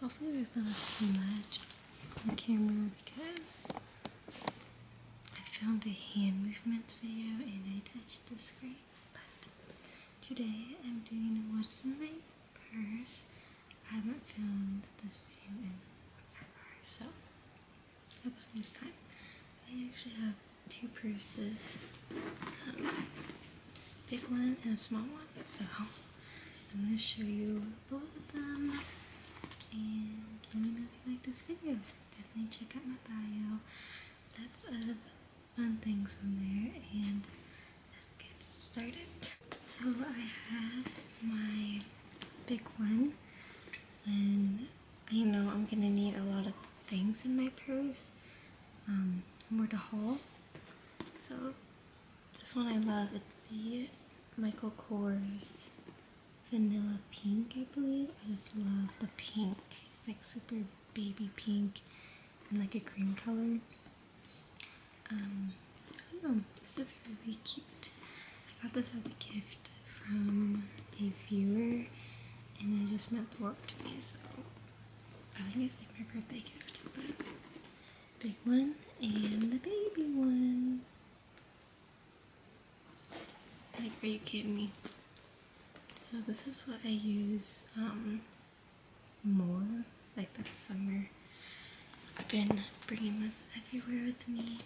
Hopefully there's not a smudge on camera because I filmed a hand movement video and I touched the screen. But today I'm doing what's in my purse. I haven't filmed this video in forever, so I thought it was time. I actually have two purses. Um, big one and a small one, so I'm going to show you both of them and let me know if you like this video. Definitely check out my bio. Lots of fun things on there and let's get started. So I have my big one and I know I'm going to need a lot of things in my purse um, more to haul. So this one I love. It's the Michael Kors Vanilla Pink, I believe. I just love the pink. It's like super baby pink and like a cream color. Um, I don't know. This is really cute. I got this as a gift from a viewer and it just meant the world to me, so I think it's like my birthday gift, but big one and the baby one. are you kidding me? So this is what I use um, more, like this summer. I've been bringing this everywhere with me.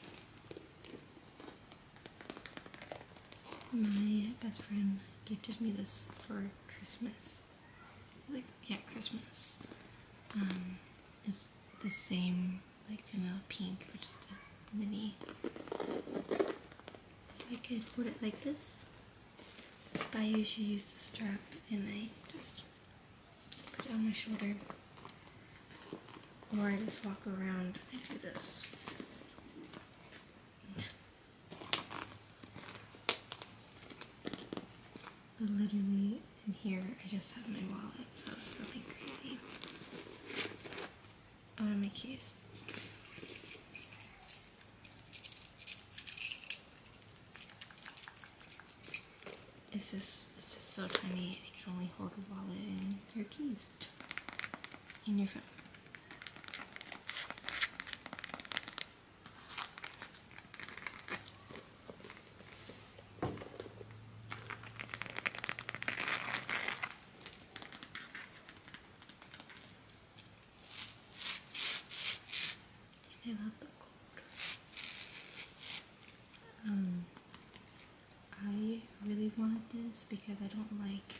My best friend gifted me this for Christmas like yeah, Christmas um, is the same like vanilla pink, but just a mini. So I could put it like this. I usually use the strap, and I just put it on my shoulder, or I just walk around. and do this. But literally, and here I just have my wallet, so it's nothing crazy. Oh, and my keys. It's just, it's just so tiny, it can only hold a wallet and your keys. And your phone. They love the cold. Um, I really wanted this because I don't like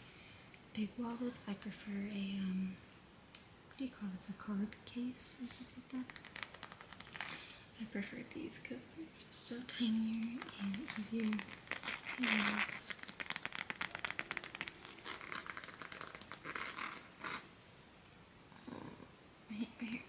big wallets. I prefer a um, what do you call this, a card case or something like that? I prefer these because they're just so tinier and easier oh, right here.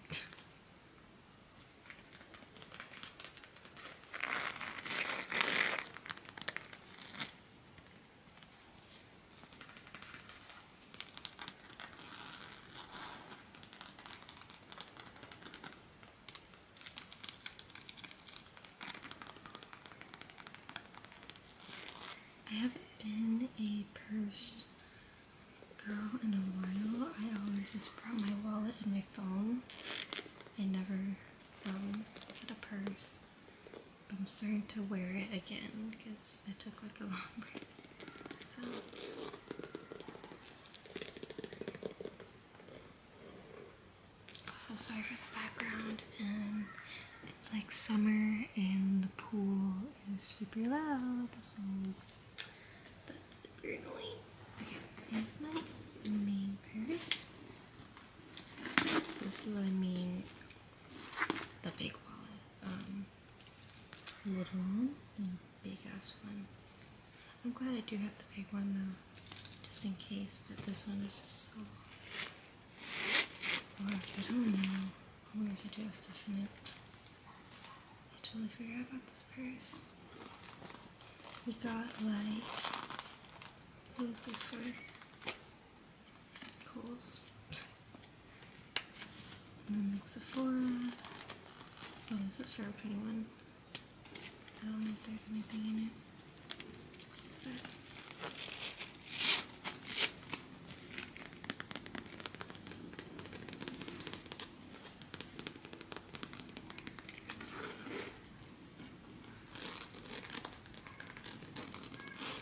I haven't been a purse girl in a while. I always just brought my wallet and my phone. I never um, had a purse. I'm starting to wear it again because I took like a long break. So sorry for the background. Um, it's like summer and the pool is super loud, so that's super annoying. Okay, here's my main purse. This is what I mean the big wallet. Um, Little one big ass one. I'm glad I do have the big one though, just in case, but this one is just so. I don't know, i wonder if to do a stuff in it. I totally forgot about this purse. We got like, Who is this for? Kohl's. And then Sephora. Oh, this is a a pretty one. I don't know there's anything in it.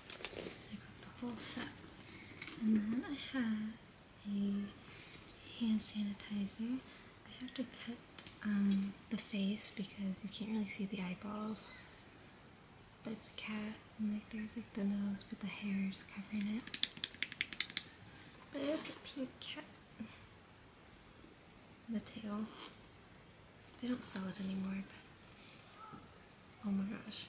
I got the whole set. And then I have a hand sanitizer. I have to cut um, the face because you can't really see the eyeballs. But it's a cat, and like there's like the nose, but the hair is covering it. But it's a pink cat. The tail. They don't sell it anymore, Oh my gosh.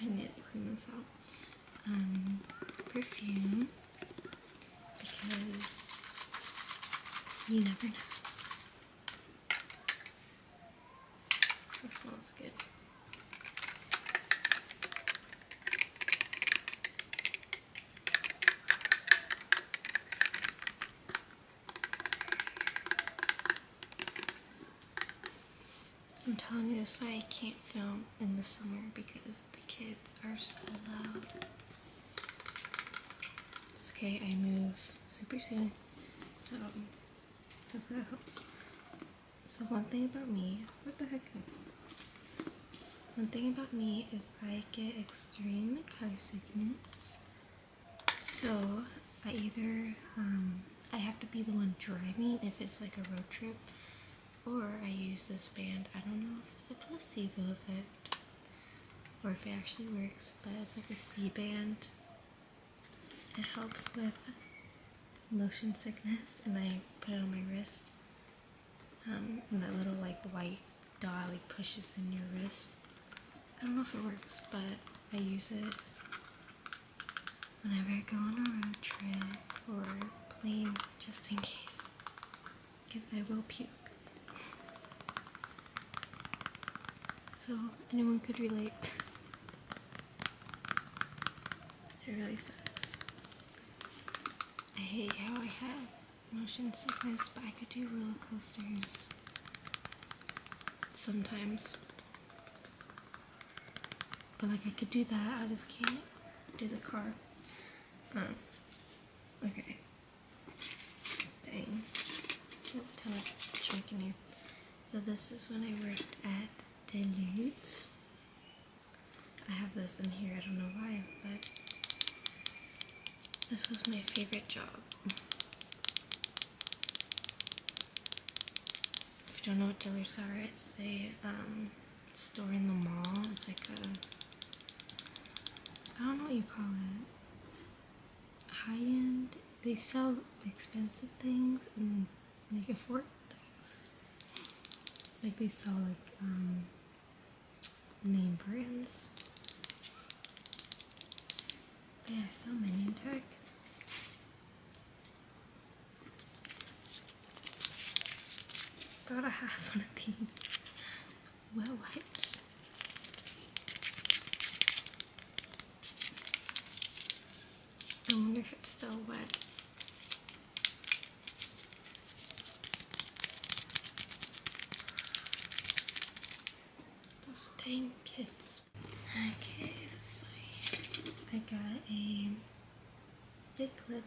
I need to clean this out. Um, perfume because you never know. This smells good. I'm telling you, this is why I can't film in the summer because the kids are so loud okay, I move super soon, so if that helps. So one thing about me, what the heck? One thing about me is I get extreme car sickness. So I either um, I have to be the one driving if it's like a road trip, or I use this band. I don't know if it's a placebo effect, or if it actually works, but it's like a C-band. It helps with motion sickness, and I put it on my wrist. Um, and that little like white dot like pushes in your wrist. I don't know if it works, but I use it whenever I go on a road trip or plane, just in case because I will puke. So anyone could relate. It really sucks. I hate how I have motion sickness, but I could do roller coasters sometimes. But like I could do that, I just can't do the car. Um, okay thing. Nope, ton here. So this is when I worked at Deludes. I have this in here, I don't know why, but this was my favorite job. If you don't know what Dillard's are, it's a um, store in the mall. It's like a, I don't know what you call it high end. They sell expensive things and then like for things. Like they sell like um, name brands. They so many in Turk. got a half one of these well wipes. I wonder if it's still wet. dang kids. Okay, I got a clip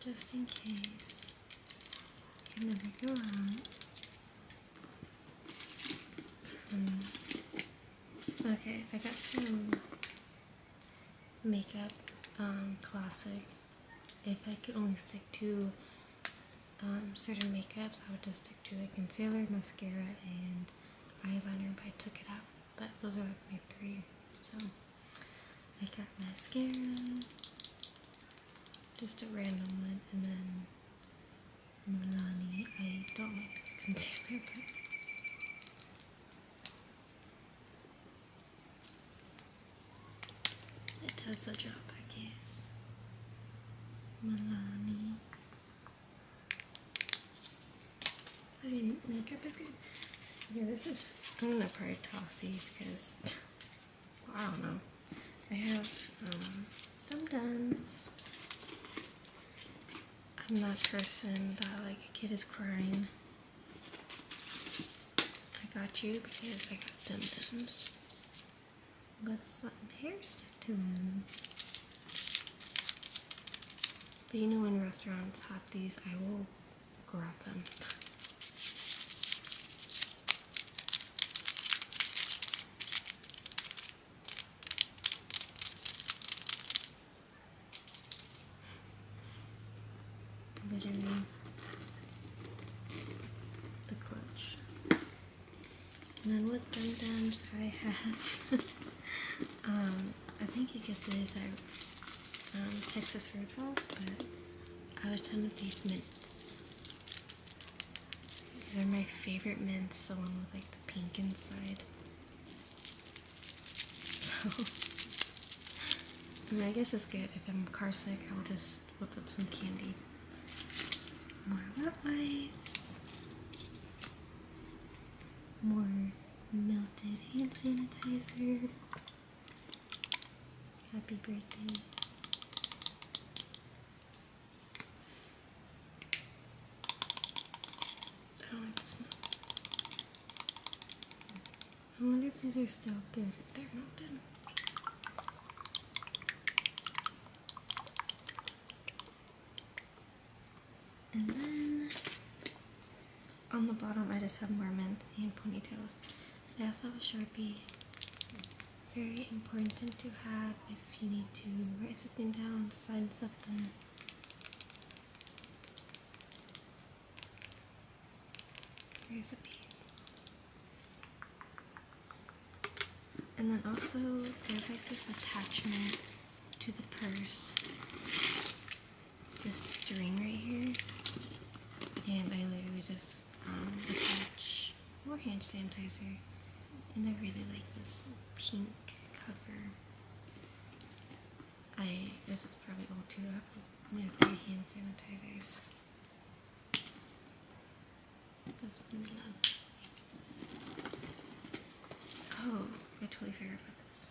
just in case you can never go wrong. Okay, I got some makeup, um, classic. If I could only stick to um, certain makeups, I would just stick to a concealer, mascara, and I eyeliner, but I took it out. But those are my three. So I got mascara, just a random one, and then Milani. I don't like this concealer, but. It does the job, I guess. Milani. I mean, makeup is good. Yeah, this is, I'm gonna probably toss these because, I don't know. I have um, thumb I'm that person that like a kid is crying. I got you because I got dum-dums with some um, hairstyles. But you know when restaurants have these, I will grab them. Literally the clutch. And then with the Dums, I have, um, I think you get these at um, Texas Roadhouse, but I have a ton of these mints. These are my favorite mints, the one with like the pink inside. So, I mean, I guess it's good. If I'm car sick, I will just whip up some candy. More wet wipes. More melted hand sanitizer. Happy birthday. I wonder if these are still good. They're melted. And then on the bottom I just have more mints and ponytails. I also have a Sharpie. Very important to have if you need to write something down, sign something. Here's a bead. And then also there's like this attachment to the purse this string right here, and I literally just um, attach more hand sanitizer. And I really like this pink cover. I this is probably all too up. I have three hand sanitizers. That's what I love. Oh, I totally forgot about this.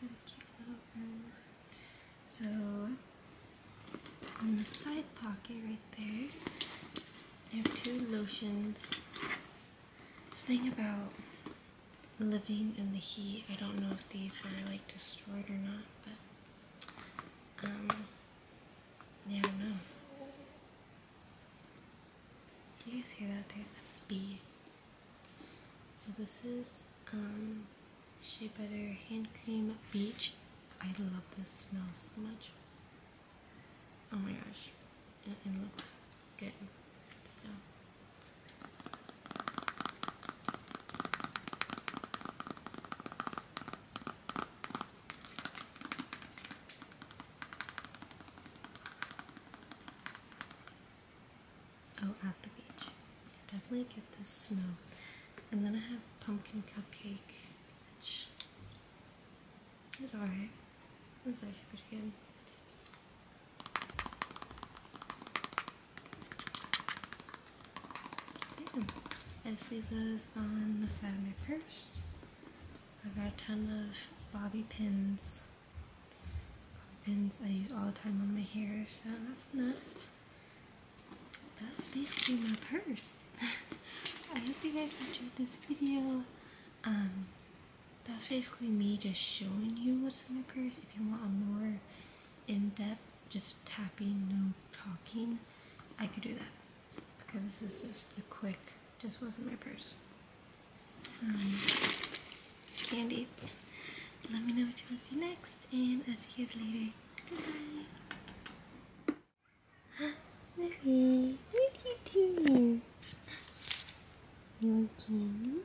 Got So on the side pocket right there, I have two lotions. This thing about living in the heat. I don't know if these are like destroyed or not, but um, yeah, I don't know. Do you guys hear that? There's a bee. So this is um, Shea Butter Hand Cream Beach. I love this smell so much. Oh my gosh. It, looks good still. Oh, at the beach. I definitely get this smell. And then I have pumpkin cupcake, It's alright. It's actually pretty good. I just leave this on the side of my purse. I've got a ton of bobby pins. pins I use all the time on my hair, so that's the nest. That's basically my purse. I hope you guys enjoyed this video. Um, that's basically me just showing you what's in my purse. If you want a more in-depth, just tapping, no talking, I could do that because this is just a quick, just wasn't my purse. Um, candy. Let me know what you want to do next, and I'll see you guys later. Goodbye. Murphy, what are you doing? You want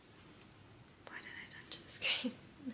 Why did I touch the screen?